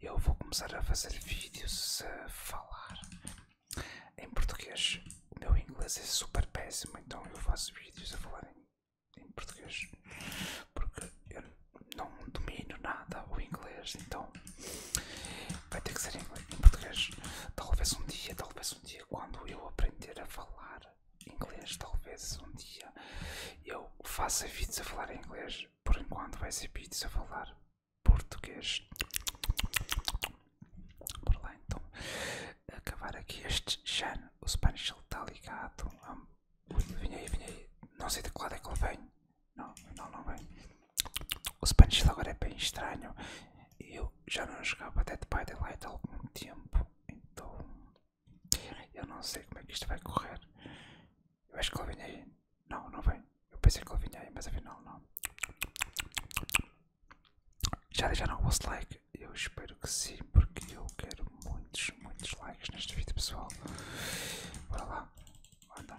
eu vou começar a fazer vídeos a falar em português. O meu inglês é super péssimo, então eu faço vídeos a falar em, português porque eu não domino nada o inglês, então vai ter que ser em português. Talvez um dia, talvez um dia, quando eu aprender a falar inglês, talvez um dia eu faça vídeos a falar em inglês por enquanto vai ser vídeos a falar português. Por lá então, acabar aqui este Jan, o Spanish ele está ligado. Vinha aí, vinha aí. Não sei de que lado é que ele vem. Não, não, não vem. O Spanish agora é bem estranho. Eu já não jogava Dead by Daylight há algum tempo. Então eu não sei como é que isto vai correr. Eu acho que ele vem aí. Não, não vem. Eu pensei que ele vinha aí, mas a ver não. Já deixaram o vosso like? Eu espero que sim, porque eu quero muitos, muitos likes neste vídeo, pessoal. Bora lá. Anda.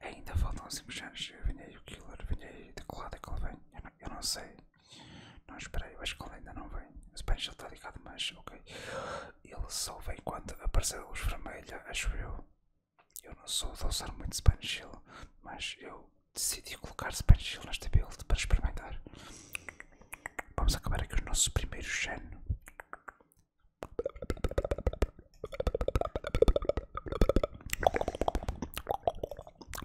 Ainda faltam 5 anos. Eu vinhei o Killer, vinhei de que lado que ele vem? Eu não, sei. Não esperei, eu acho que ele ainda não vem. Se bem já está ligado, mas ok. Ele só vem quando aparecer a luz vermelha, acho eu. Eu não sou de usar muito Spanish Hill, mas eu decidi colocar Spanish Hill nesta build para experimentar. Vamos acabar aqui o nosso primeiro gen.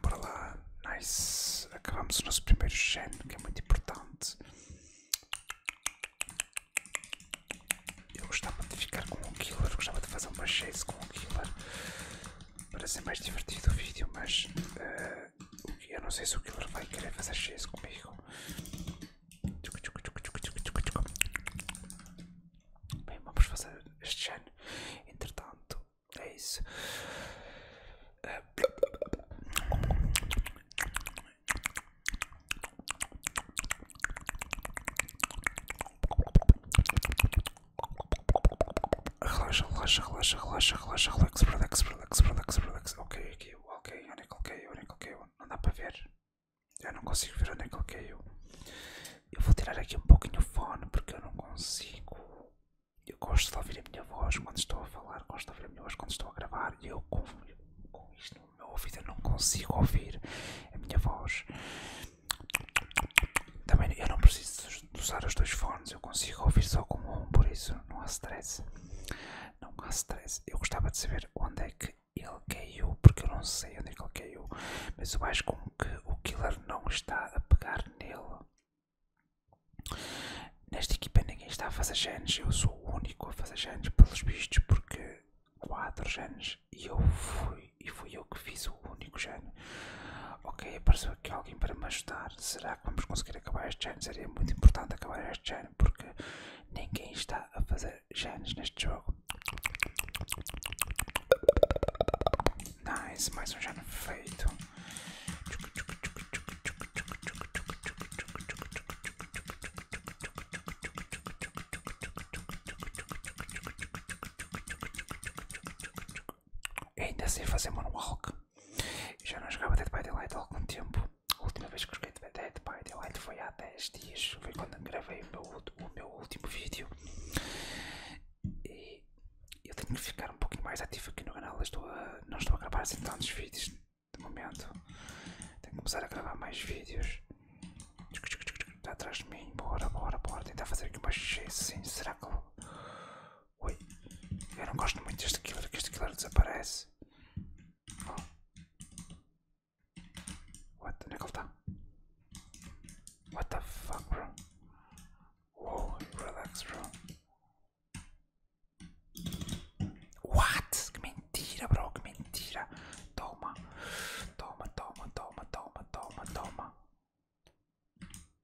Bora lá, nice. Acabamos o nosso primeiro gen, que é muito importante. Eu gostava de ficar com o killer, gostava de fazer uma chase com o killer para ser mais divertido o vídeo, mas eh, eu não sei se o killer vai querer fazer chase comigo. Bem, vamos fazer este ano. Entretanto, é isso. Relaxa, relaxa, relaxa, relaxa, relaxa, relaxa relaxa relaxa relaxa relax. Ok, aqui, ok, ok, ok, ok, não, dá para ver. Eu não consigo ver onde é que ele caiu. Eu vou tirar aqui um pouquinho o fone porque eu não consigo. Eu gosto de ouvir a minha voz quando estou a falar, gosto de ouvir a minha voz quando estou a gravar e eu com, com isto no meu ouvido eu não consigo ouvir a minha voz. Também eu não preciso usar os dois fones, eu consigo ouvir só com um, por isso não há stress. Não há stress. Eu gostava de saber onde é que ele caiu, porque eu não sei onde é que ele caiu, mas eu acho como que o killer não está a pegar nele. Nesta equipa ninguém está a fazer genes, eu sou o único a fazer genes pelos vistos, porque 4 genes e eu fui, e fui eu que fiz o único gene. Ok, apareceu aqui alguém para me ajudar, será vamos conseguir acabar este ano? Seria muito importante acabar este ano porque ninguém está a fazer genes neste jogo. Nice, mais um gene feito. Ainda sei assim, fazer moonwalk. Já não jogava Dead by Daylight há algum tempo. A última vez que joguei de Dead by Daylight foi há 10 dias. Foi quando gravei o meu, último vídeo. E eu tenho que ficar um pouquinho mais ativo aqui no canal. Estou não estou a gravar assim tantos vídeos de momento. Tenho que começar a gravar mais vídeos. Está atrás de mim. Bora, bora, bora. Tentar fazer aqui uma G. Sim, será que eu Oi, eu não gosto muito deste killer, que este killer desaparece. Oh. What? Onde é que ele está? What the fuck, bro? Wow, relax, bro. What? Que mentira, bro, que mentira. Toma, toma, toma, toma, toma, toma, toma.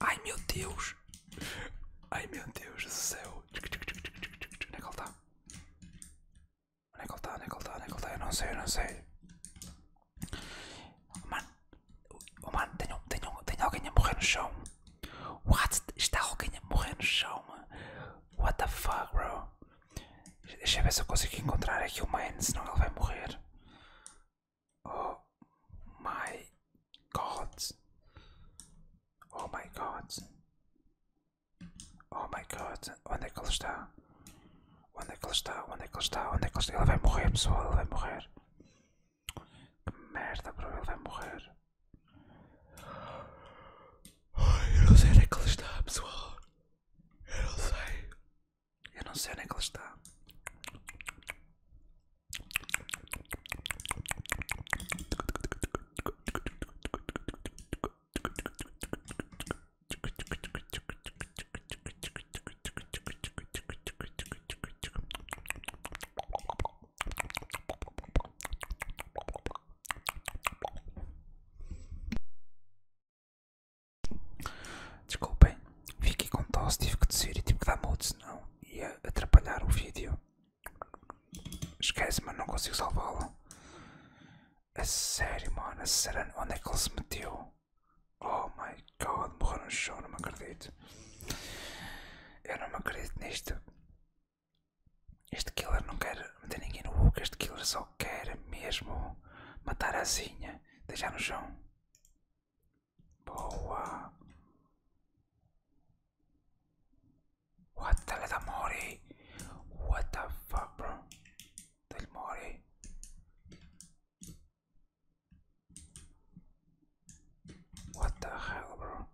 Ai meu Deus! Ai meu Deus do céu! Onde é que ele está? Onde é que ele está? Onde é que ele está? Onde é que ele está? Eu não sei, eu não sei. Oh mano, oh, tem mano, tenho, tenho, tenho alguém a morrer no chão. What? Está alguém a morrer no chão? What the fuck, bro? Deixa eu ver se eu consigo encontrar aqui o man, senão ele vai morrer. Oh my God. Oh my God. Oh my God. Onde é que ele está? Onde é que ele está? Onde é que ele está? Onde é que ele está? Ele vai morrer, pessoal. Ele vai morrer. Que merda, bro. Ele vai morrer. eu não sei onde é que ele está, pessoal. Eu não sei. Eu não sei onde é que ele está. Desculpem, fiquei com tosse, tive que descer e tive que dar mudo, senão ia atrapalhar o vídeo. Esquece, mas não consigo salvá-lo. A sério, mano, a sério, onde é que ele se meteu? Oh my god, morreu no chão, não me acredito. Eu não me acredito nisto. Este killer não quer meter ninguém no book, este killer só quer mesmo matar a zinha, deixar no chão. What the da What the fuck, bro? Del What the hell, bro?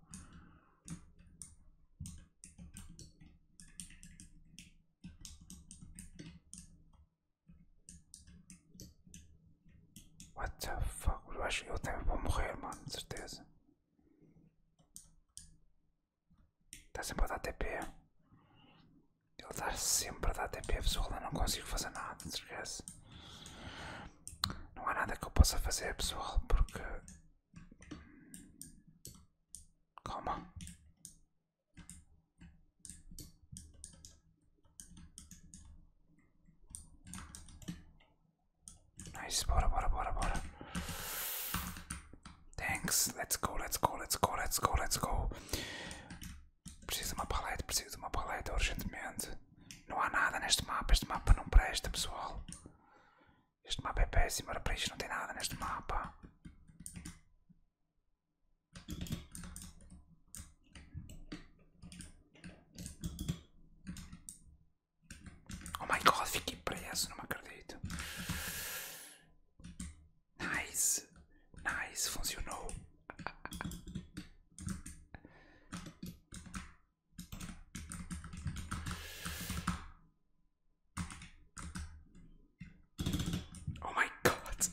What the fuck? Eu acho que eu também vou morrer, mano, de certeza. Está sempre a dar TP. Ele está sempre a dar TP, pessoal. Eu não consigo fazer nada, não Não há nada que eu possa fazer, pessoal, porque. Calma. Nice, bora, bora, bora, bora. Thanks, let's go, let's go, let's go, let's go, let's go. Preciso de uma paleta, preciso de uma paleta urgentemente. Não há nada neste mapa, este mapa não presta, pessoal. Este mapa é péssimo, para isso não tem nada neste mapa. Oh my god, fiquei preso, não acredito. Nice, nice, funcionou. Oh my god.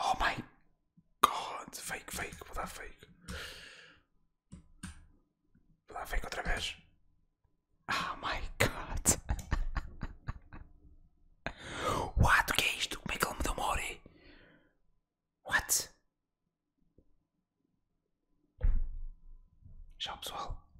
Oh my god, fake, fake, vou dar fake. Vou dar fake outra vez. Oh my god. What? O que é isto? Como é que ele me deu uma What? Tchau pessoal.